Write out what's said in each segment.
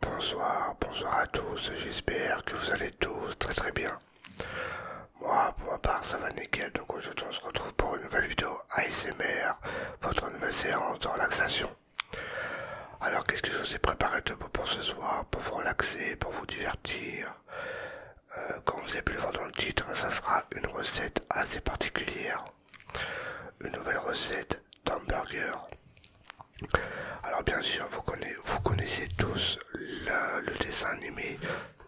Bonsoir, bonsoir à tous, j'espère que vous allez tous très très bien. Moi, pour ma part, ça va nickel, donc aujourd'hui on se retrouve pour une nouvelle vidéo ASMR, votre nouvelle séance de relaxation. Alors, qu'est-ce que je vous ai préparé de beau pour ce soir pour vous relaxer, pour vous divertir. comme euh, vous avez pu le voir dans le titre, ça sera une recette assez particulière. Une nouvelle recette d'hamburger. Alors bien sûr, vous connaissez, tous le, dessin animé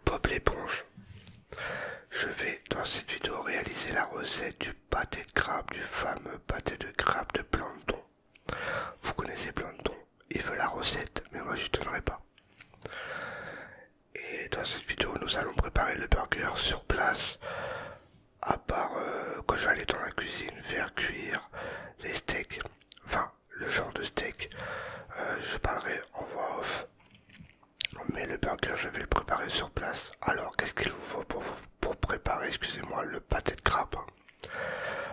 Bob l'éponge. Je vais dans cette vidéo réaliser la recette du pâté de crabe, du fameux pâté de crabe de Planton. Vous connaissez Planton il veut la recette, mais moi je donnerai pas. Et dans cette vidéo, nous allons préparer le burger sur place. À part euh, quand je vais aller dans la cuisine faire cuire les steaks, enfin le genre de steak, euh, je parlerai en voix off. Mais le burger, je vais le préparer sur place. Alors, qu'est-ce qu'il vous faut pour, pour préparer, excusez-moi, le pâté de crabe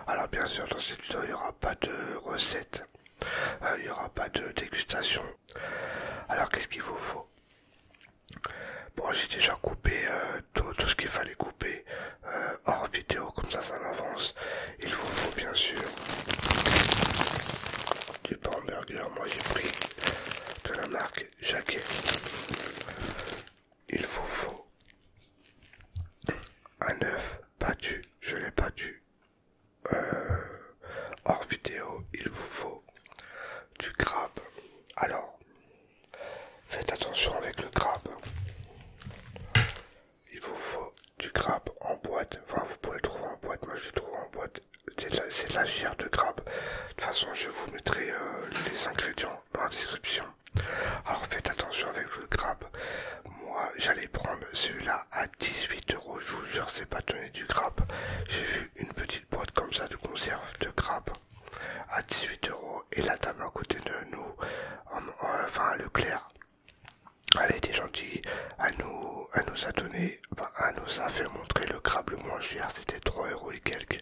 alors bien sûr dans cette vidéo il n'y aura pas de recette, euh, il n'y aura pas de dégustation. Alors qu'est-ce qu'il vous faut Bon j'ai déjà coupé euh, tout, ce qu'il fallait couper euh, hors vidéo comme ça ça avance. Il vous faut bien sûr du hamburger, moi j'ai pris de la marque Jaquet il vous faut un œuf battu, je l'ai battu euh, hors vidéo, il vous faut du crabe. Alors, faites attention avec le crabe. Il vous faut du crabe en boîte. Enfin, vous pouvez le trouver en boîte. Moi, je l'ai trouve en boîte. C'est de, la chair de crabe. De toute façon, je vous mettrai euh, les ingrédients dans la description. Alors faites attention avec le crabe. Moi j'allais prendre celui-là à 18 euros. Je vous jure, c'est pas donné du crabe. J'ai vu une petite boîte comme ça de conserve de crabe à 18 euros. Et la dame à côté de nous, enfin Leclerc, elle était gentille. À nous, elle nous a donné, enfin, nous a fait montrer le crabe le moins cher. C'était 3 euros et quelques.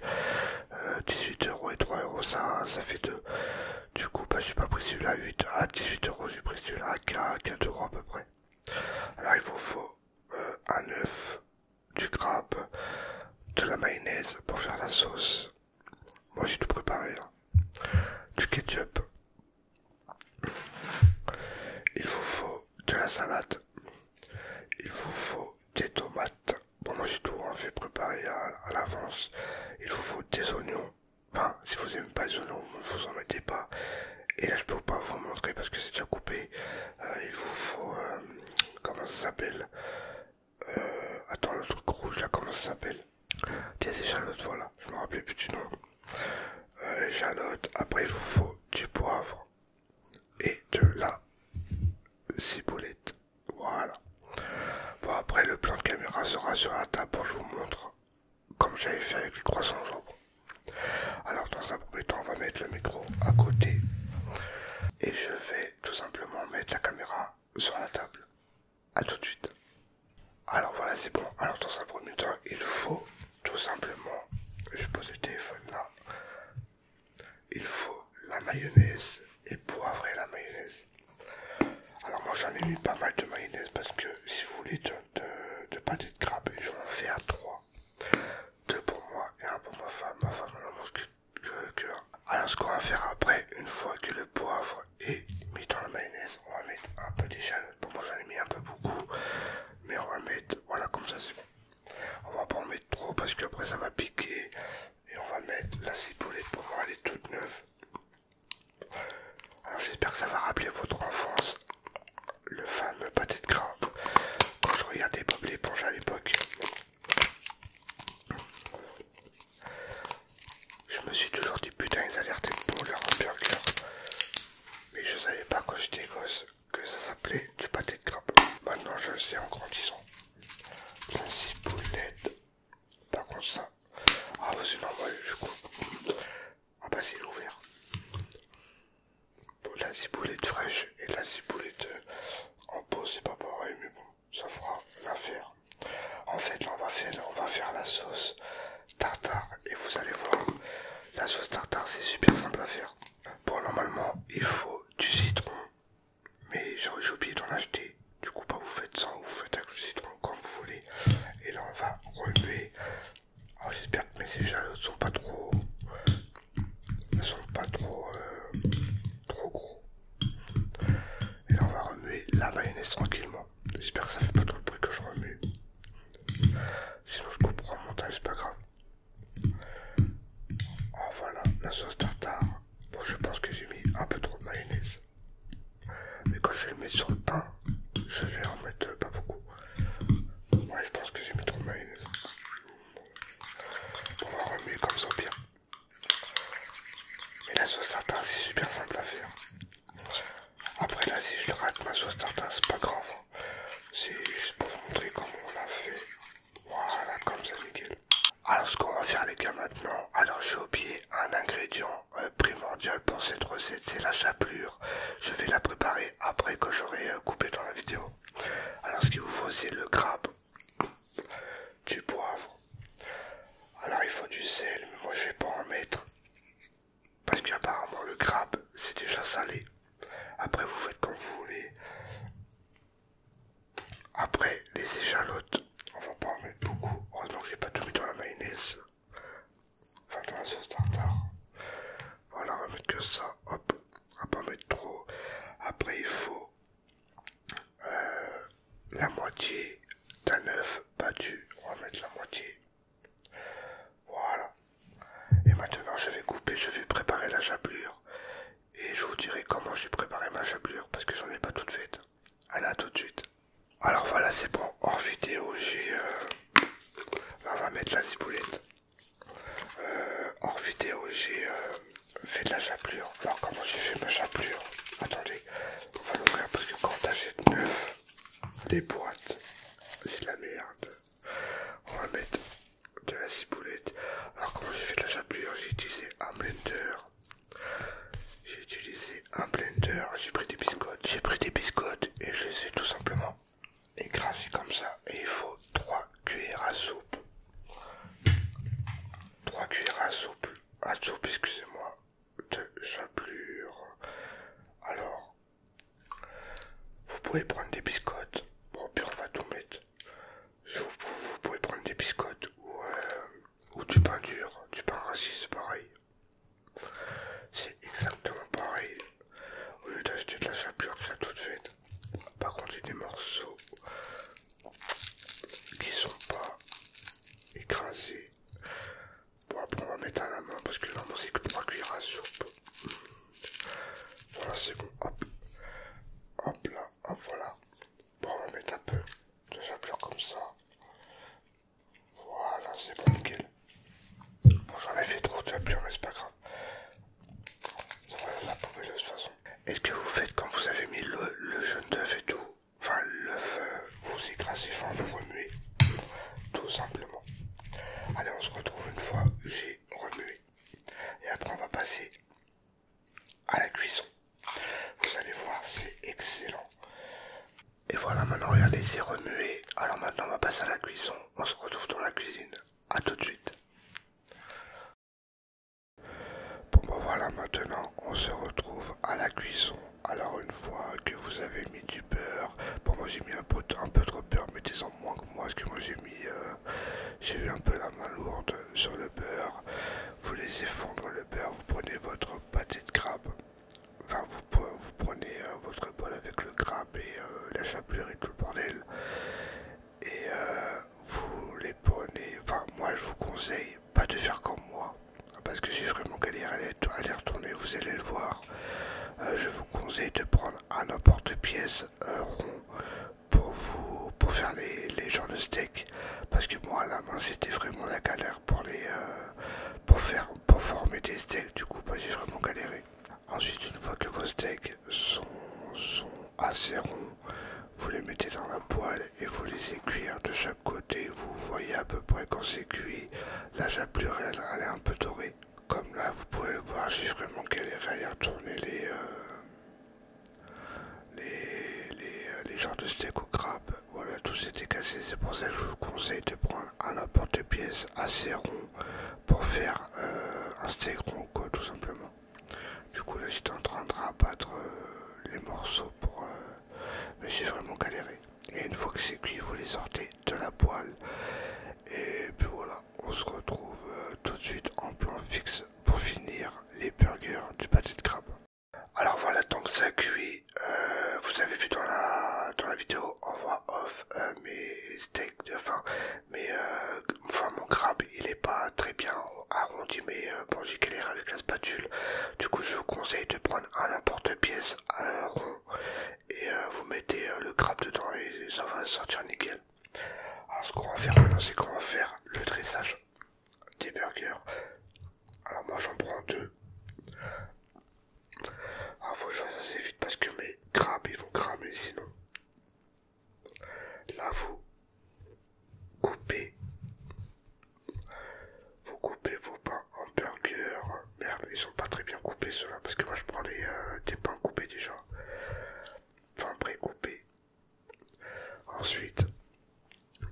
18 euh, euros et 3 euros, ça, ça fait deux. Du coup, bah, j'ai pas pris celui-là à 8, à 18 euros, j'ai pris celui-là à ah, 4 euros à peu près. Alors, il vous faut euh, un œuf, du crabe, de la mayonnaise pour faire la sauce. Moi, j'ai tout préparé. Hein. Du ketchup. Il vous faut de la salade. Il vous faut des tomates. Bon, moi j'ai tout en hein. fait préparé à, l'avance. Il vous faut des oignons. Enfin, si vous n'aimez pas les oignons, vous en mettez pas. Et là, je peux pas vous montrer parce que c'est déjà coupé. Euh, il vous faut. Euh, comment ça s'appelle euh, Attends, le truc rouge là, comment ça s'appelle Des échalotes, voilà. Je me rappelais plus du nom. échalotes. Après, il vous faut du poivre et de la ciboulette. Voilà. Bon, après, le plan de caméra sera sur la table pour je vous montre comme j'avais fait avec les croissants Alors, dans un premier temps, on va mettre le micro à côté et je vais tout simplement mettre la caméra sur la table. A tout de suite. Alors voilà, c'est bon. Alors, dans un premier temps, il faut tout simplement, je pose le téléphone là, il faut la mayonnaise et poivrer la mayonnaise. Alors moi j'en ai mis pas mal de mayonnaise parce que si vous voulez de, de, pâté de crabe, je vais en faire trois Deux pour moi et un pour ma femme. Ma femme elle en mange que, que, que Alors ce qu'on va faire après, une fois que le poivre est mis dans la mayonnaise, on va mettre un peu d'échalote. Bon moi j'en ai mis un peu beaucoup, mais on va mettre, voilà comme ça c'est bon. On va pas en mettre trop parce qu'après ça va piquer, et on va mettre la ciboulette pour voir, elle est toute neuve. Alors j'espère que ça va rappeler votre enfance. Le fameux pâté de crabe, Quand je regardais Bob l'éponge à l'époque, je me suis toujours dit putain ils alertaient pour leur hamburger. Mais je savais pas quand j'étais gosse que ça s'appelait du pâté de crabe. Maintenant je sais en grandissant. La ciboulette par contre ça... Ah bah, c'est normal, je du coup Ah bah c'est ouvert. la ciboulette fraîche et la ciboulette euh, en pot c'est pas pareil mais bon, ça fera l'affaire. En fait là on va faire, là, on va faire la sauce tartare et vous allez voir, la sauce tartare c'est super simple à faire. Bon normalement il faut du citron, mais j'ai oublié d'en acheter. Du coup, pas bah, vous faites ça, vous faites avec le citron comme vous voulez. Et là, on va remuer j'espère que mes échalotes sont pas trop. sont pas trop. Euh, trop gros. Et là, on va remuer la mayonnaise tranquillement. J'espère que ça fait pas trop le bruit que je remue. Sinon, je couperai en montage, c'est pas grave. Ah, voilà, la sauce tartare. Bon, je pense que j'ai mis un peu trop de mayonnaise. Mais quand je vais le mettre sur le pain, je vais en mettre euh, pas beaucoup. Moi, je pense que j'ai mis trop de On va comme ça bien. Mais la sauce tartare, c'est super simple à faire. Après, là, si je rate ma sauce tartare, c'est pas grave. Hein. C'est juste pour vous montrer comment on l'a fait. Voilà, comme ça, nickel. Alors ce qu'on va faire les gars maintenant, alors j'ai oublié un ingrédient euh, primordial pour cette recette, c'est la chapelure. Je vais la préparer après que j'aurai euh, coupé dans la vidéo. Alors ce qu'il vous faut c'est le crabe, du poivre. Alors il faut du sel, mais moi je vais pas en mettre. Parce qu'apparemment le crabe c'est déjà salé. Après vous faites comme vous voulez. Après, les échalotes, on va pas en mettre beaucoup. Oh non, j'ai pas tout mis dans la mayonnaise. Enfin, dans la sauce tartare. Voilà, on va mettre que ça. Hop, on va pas en mettre trop. Après, il faut euh, la moitié d'un œuf battu. On va mettre la moitié. Voilà. Et maintenant, je vais couper, je vais préparer la chapelure. Et je vous dirai comment j'ai préparé ma chapelure parce que j'en ai pas toute faite à la tout de suite. Alors voilà, c'est bon. Or vidéo, j'ai. Euh, on va mettre la ciboulette. Or euh, vidéo, j'ai euh, fait de la chapelure. Alors, comment j'ai fait ma chapelure Attendez, on va l'ouvrir parce que quand t'achètes neuf des boîtes, c'est de la merde. On va mettre de la ciboulette. Alors, comment j'ai fait de la chapelure J'ai utilisé un blender j'ai utilisé un blender, j'ai pris des biscottes, j'ai pris des biscottes et je les ai tout simplement écrasées comme ça. Et il faut 3 cuillères à soupe. 3 cuillères à soupe, à soupe, excusez-moi, de chapelure. Alors, vous pouvez prendre des biscottes. Bon, puis on va tout mettre. Vous, pouvez prendre des biscottes ou euh, ou du pain dur, du pain raciste, c'est pareil. C'est exactement pareil. Au lieu d'acheter de la chapelure tout toute faite, par contre, il y a des morceaux qui sont pas écrasés. Bon, après, on va mettre à la main parce que normalement, c'est que 3 cuillères à soupe. Voilà, c'est bon. Hop, hop là, hop, voilà. Bon, on va mettre un peu de chapelure comme ça. Voilà, c'est bon, Bon, j'en ai fait trop de chapelure, mais c'est pas grave. Ça va la poubelle de façon. Est-ce que vous faites quand vous avez mis le, jeune jaune d'œuf et tout Enfin, l'œuf, euh, vous écrasez, enfin, vous remuez. Tout simplement. Allez, on se retrouve une fois j'ai remué. Et après, on va passer à la cuisson. Vous allez voir, c'est excellent. Et voilà, maintenant regardez, c'est remué. Alors maintenant, on va passer à la cuisson. On se retrouve dans la cuisine. à tout de suite. Bon, ben voilà, maintenant, on se retrouve à la cuisson. Alors une fois que vous avez mis du beurre, bon moi j'ai mis un peu, trop de beurre, mettez-en moins que moi, parce que moi j'ai mis, euh, j'ai eu un peu la main lourde sur le beurre. Vous les fondre le beurre, vous prenez votre pâté de crabe. Enfin, vous, prenez euh, votre bol avec le crabe et euh, la chapelure et tout le bordel. Et euh, vous les prenez. Enfin, moi je vous conseille pas de faire comme moi. Parce que j'ai vraiment galère à les retourner, vous allez le voir. je vous conseille de prendre un emporte pièce rond pour vous pour faire les, les genres de steak parce que moi à la main c'était vraiment la galère pour les euh, pour faire pour former des steaks du coup j'ai vraiment galéré ensuite une fois que vos steaks sont, assez ronds vous les mettez dans la poêle et vous les cuire de chaque côté vous voyez à peu près quand c'est cuit la chapelure elle, elle est un peu dorée comme là vous pouvez le voir j'ai vraiment galéré à y retourner les euh, les, euh, genres de steak au crabe, voilà, tout s'était cassé C'est pour ça que je vous conseille de prendre un apporte pièce assez rond pour faire euh, un steak rond, quoi, tout simplement. Du coup, là, j'étais en train de rabattre euh, les morceaux pour. mais j'ai vraiment galéré. Et une fois que c'est cuit, vous les sortez de la poêle. Et puis voilà, on se retrouve tout de suite en plan fixe pour finir les burgers du pâté de crabe. Alors voilà, tant que ça cuit. Euh, vous avez vu dans la, dans la vidéo en voix off euh, mes steaks de mais euh, enfin mon crabe il est pas très bien arrondi, mais bon j'ai galère avec la spatule. Du coup je vous conseille de prendre un n'importe pièce un rond et vous mettez le crabe dedans et ça va sortir nickel. Alors ce qu'on va faire maintenant c'est qu'on va faire le dressage des burgers. Alors moi j'en prends deux. Alors ah, faut que je fasse assez vite parce que mes crabes ils vont cramer sinon. Là vous coupez. Vous coupez vos pains en burger. Merde, ils sont pas très bien coupés ceux-là parce que moi je prends euh, des pains coupés déjà. Enfin pré-coupés, Ensuite,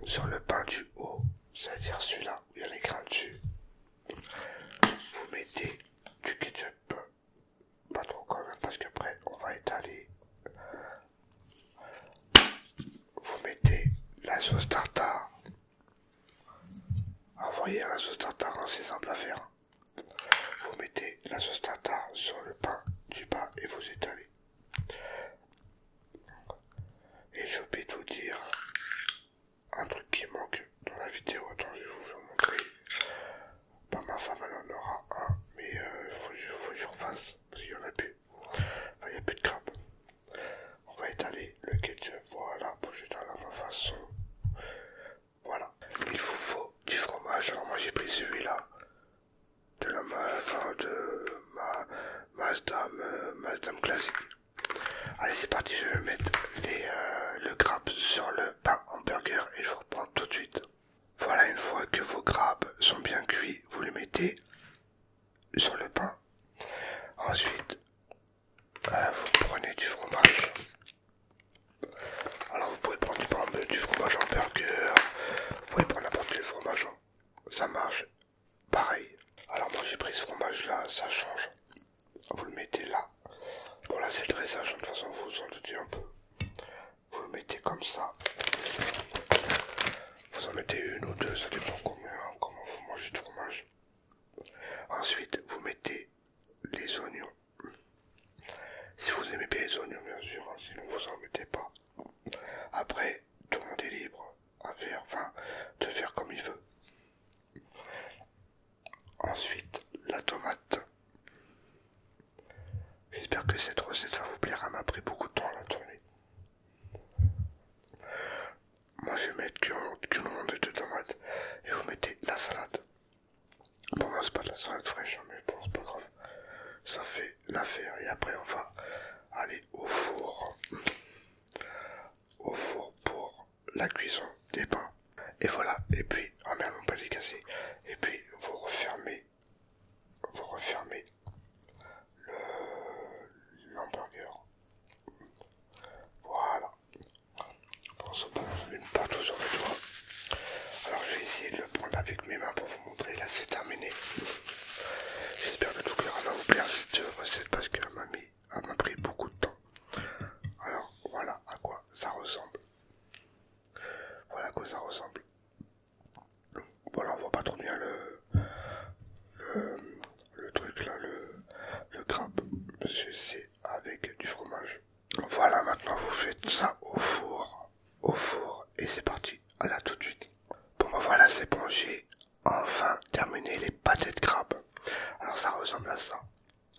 sur le pain du haut, c'est-à-dire celui-là où il y a les dessus, vous mettez du ketchup, pas trop quand même, parce qu'après on va étaler. Vous mettez la sauce tartare. Envoyez la sauce tartare, c'est simple à faire. Vous mettez la sauce tartare sur le pain du bas et vous étalez. Et je de vous dire un truc qui manque dans la vidéo. Attends, je vais vous le montrer. ma femme, elle en aura un, mais euh, il faut, que je refasse parce qu'il n'y en a plus. il n'y a plus de crabe. On va étaler le ketchup. Voilà, pour j'étale à ma façon. Voilà, il vous faut du fromage. Alors, moi j'ai pris celui-là de la main de ma Mazdam euh, Mazdam classique. Allez c'est parti, je vais mettre les, euh, le crabe sur le pain hamburger et je vous reprends tout de suite. Voilà une fois que vos grappes sont bien cuits, vous les mettez sur le pain. Ensuite, euh, vous prenez du fromage. Alors vous pouvez prendre du, du fromage hamburger, vous pouvez prendre n'importe quel fromage. Hein ça marche pareil. Alors moi j'ai pris ce fromage là, ça change. Vous le mettez là. Bon là c'est le dressage, hein, de toute façon vous vous en doutez un peu. Vous le mettez comme ça. Vous en mettez une ou deux, ça dépend combien, hein, comment vous mangez de fromage. Ensuite vous mettez les oignons. Si vous aimez bien les oignons bien sûr, hein, sinon vous en mettez pas. Après, tout le monde est libre à faire, de faire comme il veut. Ensuite, la tomate. J'espère que cette recette va vous plaire. Elle m'a pris beaucoup de temps à la tourner. Moi, je vais mettre qu'une rondelle de tomates et vous mettez la salade. Pour moi, c'est pas de la salade fraîche, hein, mais bon, c'est pas grave. Ça fait L'affaire et après on va aller au four. Au four pour la cuisson des pains. Et voilà, et puis, ah merde mon palais cassé. Et puis vous refermez, vous refermez le l'hamburger. Voilà. on se on ne pas sur le toit. Alors je vais essayer de le prendre avec mes mains pour vous montrer. Là, c'est terminé. J'espère que tout le va vous plaire cette recette parce qu'elle m'a pris beaucoup de temps. Alors, voilà à quoi ça ressemble. Voilà à quoi ça ressemble. Voilà, on voit pas trop bien le, le, le truc là, le, le crabe, parce que c'est avec du fromage. Voilà, maintenant vous faites ça au four, au four, et c'est parti. Voilà ah, tout de suite. Bon ben voilà, c'est bon, j'ai enfin terminé les pâtés de crabe. Alors ça ressemble à ça.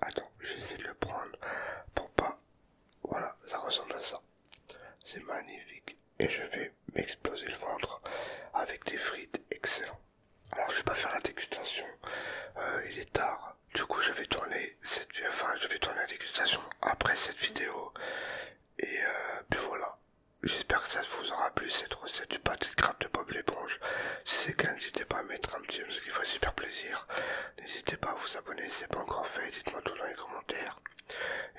Attends, j'essaie de le prendre pour pas... Voilà, ça ressemble à ça. C'est magnifique. Et je vais m'exploser le ventre avec des frites. Excellent. Alors je vais pas faire la dégustation. Euh, il est tard. Du coup, je vais tourner cette... Enfin, je vais tourner la dégustation après cette vidéo. Et euh, puis voilà. J'espère que ça vous aura plu cette recette du pâté de crabe de Bob l'éponge. Si c'est le cas, n'hésitez pas à mettre un petit j'aime, ce qui ferait super plaisir. N'hésitez pas à vous abonner si c'est pas encore fait, dites-moi tout dans les commentaires.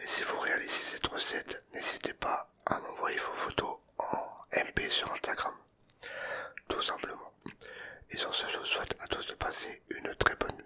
Et si vous réalisez cette recette, n'hésitez pas à m'envoyer vos photos en MP sur Instagram. Tout simplement. Et sur ce, je vous souhaite à tous de passer une très bonne nuit.